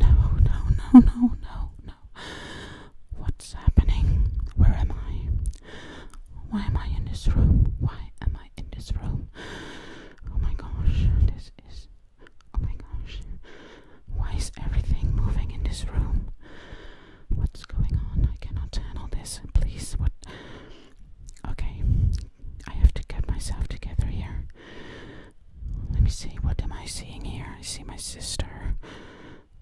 No, no, no, no, no, no. What's happening? Where am I? Why am I in this room? Why am I in this room? Oh my gosh, this is. Oh my gosh. Why is everything moving in this room? What's going on? I cannot handle this. Please, what? Okay, I have to get myself together here. Let me see, what am I seeing here? I see my sister.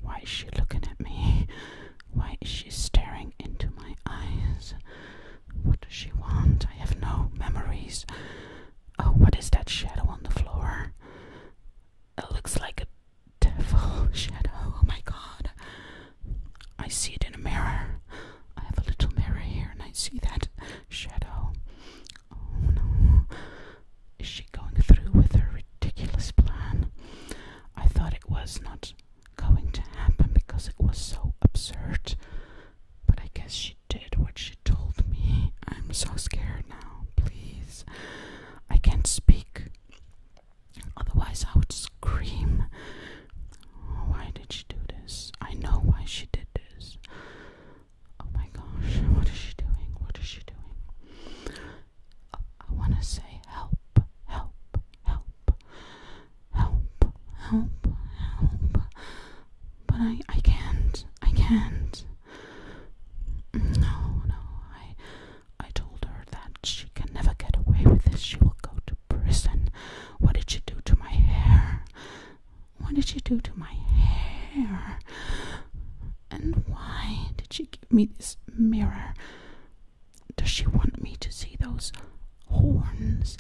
Why is she looking at me? Why is she staring into my eyes? What does she want? I have no memories. Oh, what is that shadow on the floor? It looks like a devil shadow. Oh my god. I see it in a mirror. I have a little mirror here and I see that shadow. Oh no. Is she going through with her ridiculous plan? I thought it was not going to happen because it was so absurd. But I guess she did what she told me. I'm so scared now. Please. I can't speak. Otherwise, I would scream. Why did she do this? I know why she did this. Oh my gosh, what is she doing? What is she doing? Uh, I want to say help, help, help, help, help, help. But I, I can't, I can't. No, no, I, I told her that she can never get away with this. She will go to prison. What did she do to my hair? What did she do to my hair? And why did she give me this mirror? Does she want me to see those horns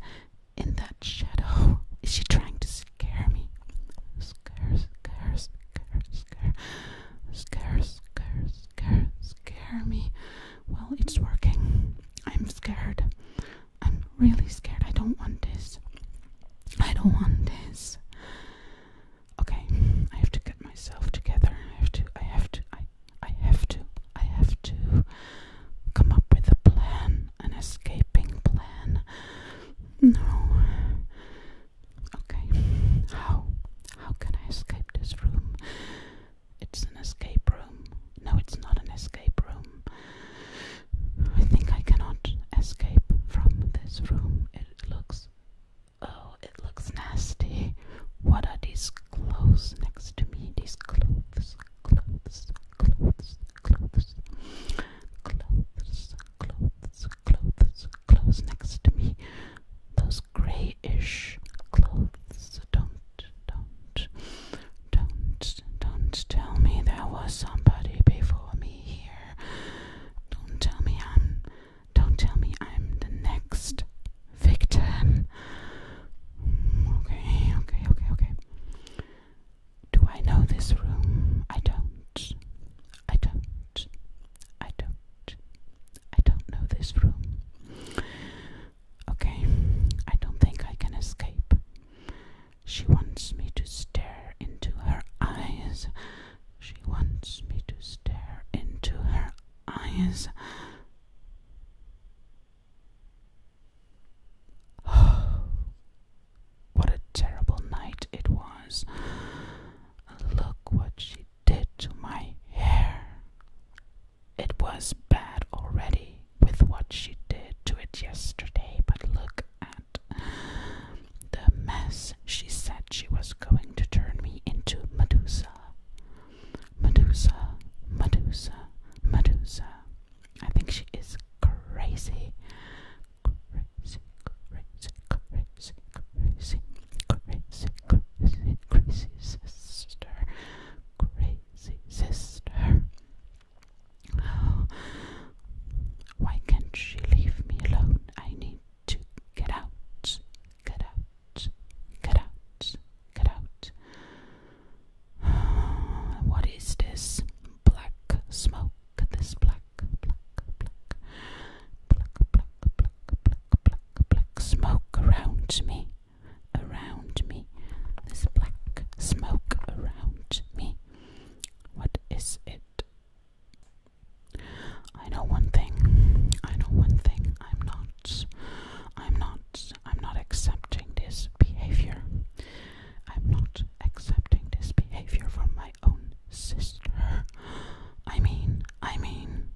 in that shadow? Is she trying to scare me? Scare, scare, scare, scare, scare, scare, scare, scare me. Well, it's working. I'm scared. I'm really scared. I don't want this. I don't want this. Okay, I have to get myself together. I have to. I have to. I. I have to. I have to come up with a plan, an escaping plan. No. Okay. How? How can I escape this room? It's an escape room. No, it's not an escape room. I think I cannot escape from this room. It looks. Oh, it looks nasty. What are these clothes next to me? These clothes, clothes, clothes, clothes. Clothes, clothes, clothes, clothes next to me. Those grayish clothes. Don't, don't. Don't, don't tell me there was somebody before me here. Don't tell me I'm, don't tell me I'm the next victim. Okay, okay, okay, okay. Do I know this room? I don't. I don't. I don't. I don't know this room. Okay, I don't think I can escape. She wants me to stare into her eyes. She wants me to stare into her eyes. Oh, what a terrible night it was. Look what she did to my hair. It was bad already with what she did to it yesterday, but look at the mess. She said she was going to turn me into Medusa. Medusa, Medusa, Medusa. I think she is crazy. Crazy, crazy, crazy, crazy, crazy, crazy, crazy sister. Crazy sister. Why can't she leave me alone? I need to get out, get out, get out, get out. What is this black smoke? This black, black, black, black, black, black, black, black smoke around me around me, this black smoke around me. What is it? I know one thing. I know one thing. I'm not. I'm not. I'm not accepting this behavior. I'm not accepting this behavior from my own sister. I mean, I mean,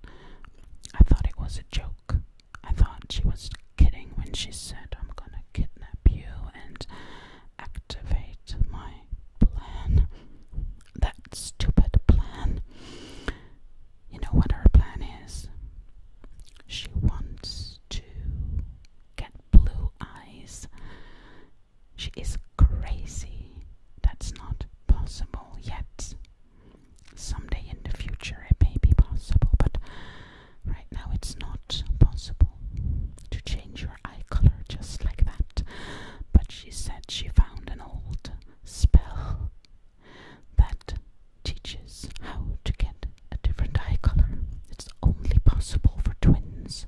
I thought it was a joke. I thought she was kidding when she said, I'm gonna kidnap you and activate my plan. That stupid plan. You know what her plan is? She wants to get blue eyes. She is crazy. That's not possible yet. Someday in the future it may be possible, but Right now, it's not possible to change your eye color just like that. But she said she found an old spell that teaches how to get a different eye color. It's only possible for twins.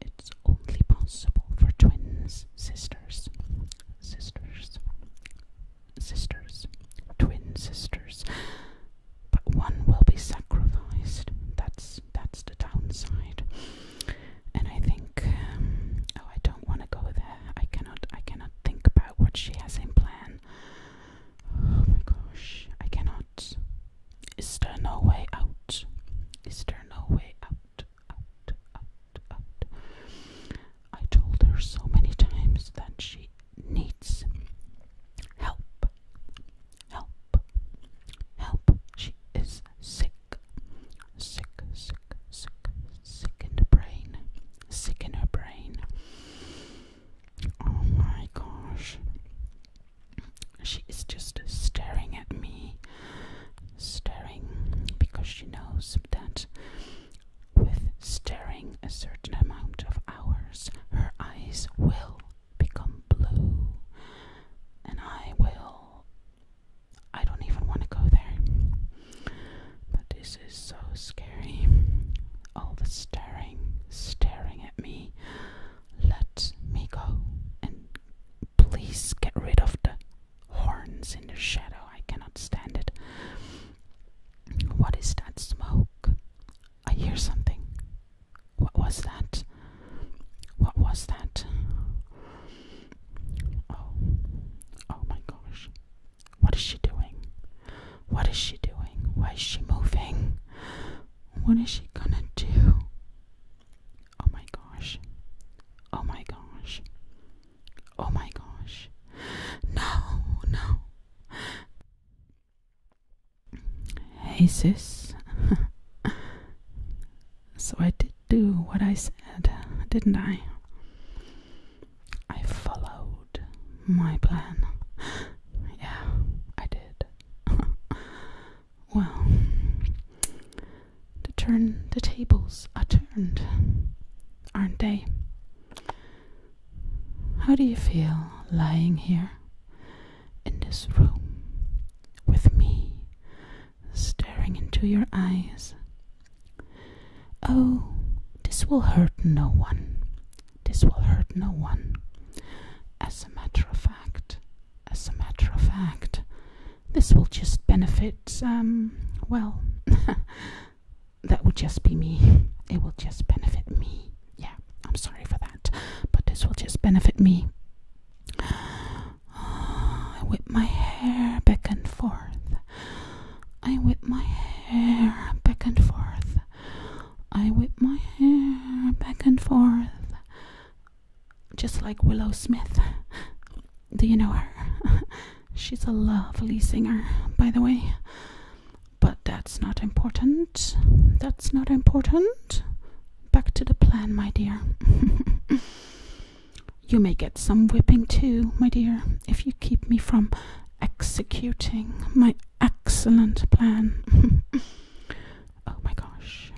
It's only possible for twins, sisters, sisters, sisters, twin sisters but one will be sacrificed. That's that's the downside. And I think, um, oh, I don't want to go there. I cannot. I cannot think about what she has in plan. Oh my gosh, I cannot. Is there no way out? Is there no way out? Out, out, out. I told her so many times that she needs help. Help. Help. She is sick. Sick, sick, sick, sick in the brain. Sick in her brain. Oh my gosh. She is just staring at me. Staring because she knows that with staring a certain amount of hours, her eyes will become blue, and I will. I don't even want to go there. But this is so scary. All the staring, staring at me. Let me go and please get rid of the horns in the shadow. I cannot stand it. What is that smoke? I hear something. What was that? What was that? Oh, oh my gosh. What is she doing? What is she doing? Why is she moving? What is she gonna do? Oh my gosh. Oh my gosh. Oh my gosh. No, no. Hey, sis. so I did do what I said, didn't I? I followed my plan. yeah, I did. well, the turn the tables are turned, aren't they? How do you feel lying here in this room with me staring into your eyes? Oh, this will hurt no one. This will hurt no one. As a matter of fact, as a matter of fact, this will just benefit, um, well, that will just be me. It will just benefit me. Yeah, I'm sorry for that, but this will just benefit me. I whip my hair back and forth. I whip my hair back and forth. I whip my hair back and forth. Just like Willow Smith. Do you know her? She's a lovely singer, by the way. But that's not important. That's not important. Back to the plan, my dear. you may get some whipping too, my dear, if you keep me from executing my excellent plan. oh my gosh.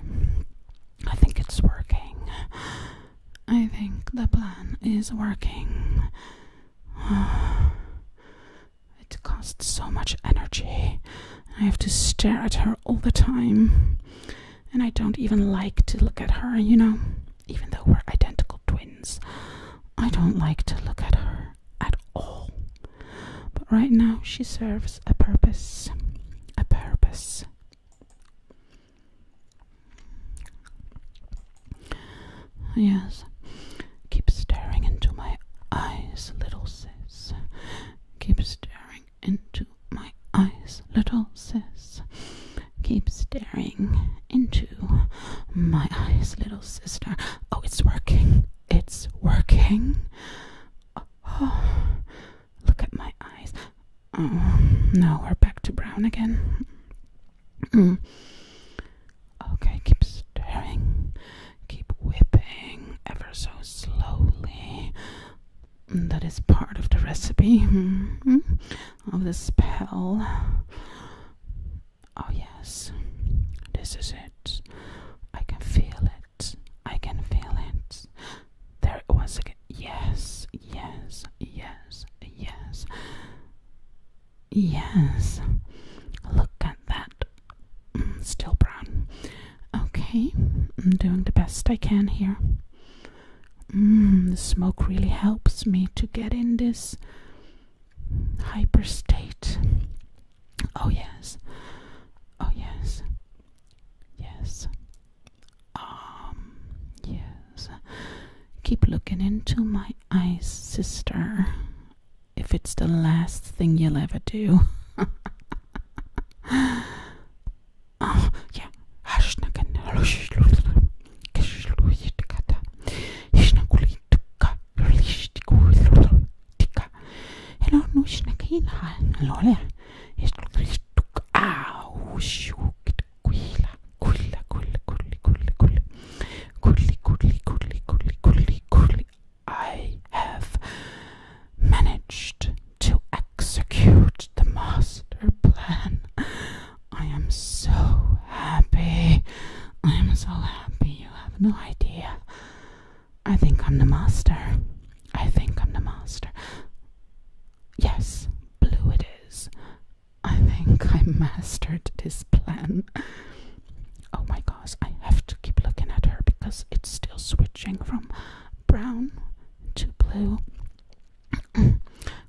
I think it's working. I think the plan is working. It costs so much energy. I have to stare at her all the time. And I don't even like to look at her, you know? Even though we're identical twins, I don't like to look at her at all. But right now, she serves a purpose. A purpose. Yes, keep staring into my eyes, little sis. Keep staring into my eyes, little sis. Keep staring into my eyes, little sister. Oh, it's working. It's working. Oh, look at my eyes. Oh, no, we're back to brown again. okay, keep stirring, keep whipping ever so slowly. That is part of the recipe hmm, of the spell. Oh, yes, this is it. I can feel it. I can feel it. There it again. Yes, yes, yes, yes. Yes. Look at that. Mm, still brown. Okay, I'm doing the best I can here. Mm, the smoke really helps me to get in this hyper state. Oh, yes. Oh, yes. Yes. Um, yes. Keep looking into my eyes, sister, if it's the last thing you'll ever do. Quilla, quilla, quilla, quilla, quilla, quilla. Quilly, quilly, quilly, quilly, quilly, quilly. I have managed to execute the master plan. I am so happy. I am so happy. You have no idea. I think I'm the master. I think I'm the master. Yes, blue it is. I think I mastered this plan. Oh my gosh, I have to keep looking at her because it's still switching from brown to blue.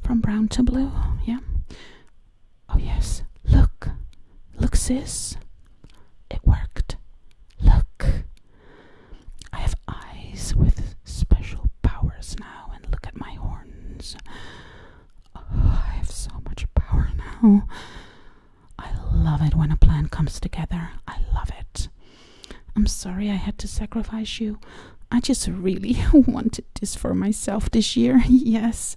from brown to blue, yeah. Oh yes, look. Look, sis. It worked. Look. I have eyes with special powers now, and look at my horns. I have so much power now. I love it when a plan comes together. I love it. I'm sorry I had to sacrifice you. I just really wanted this for myself this year. yes.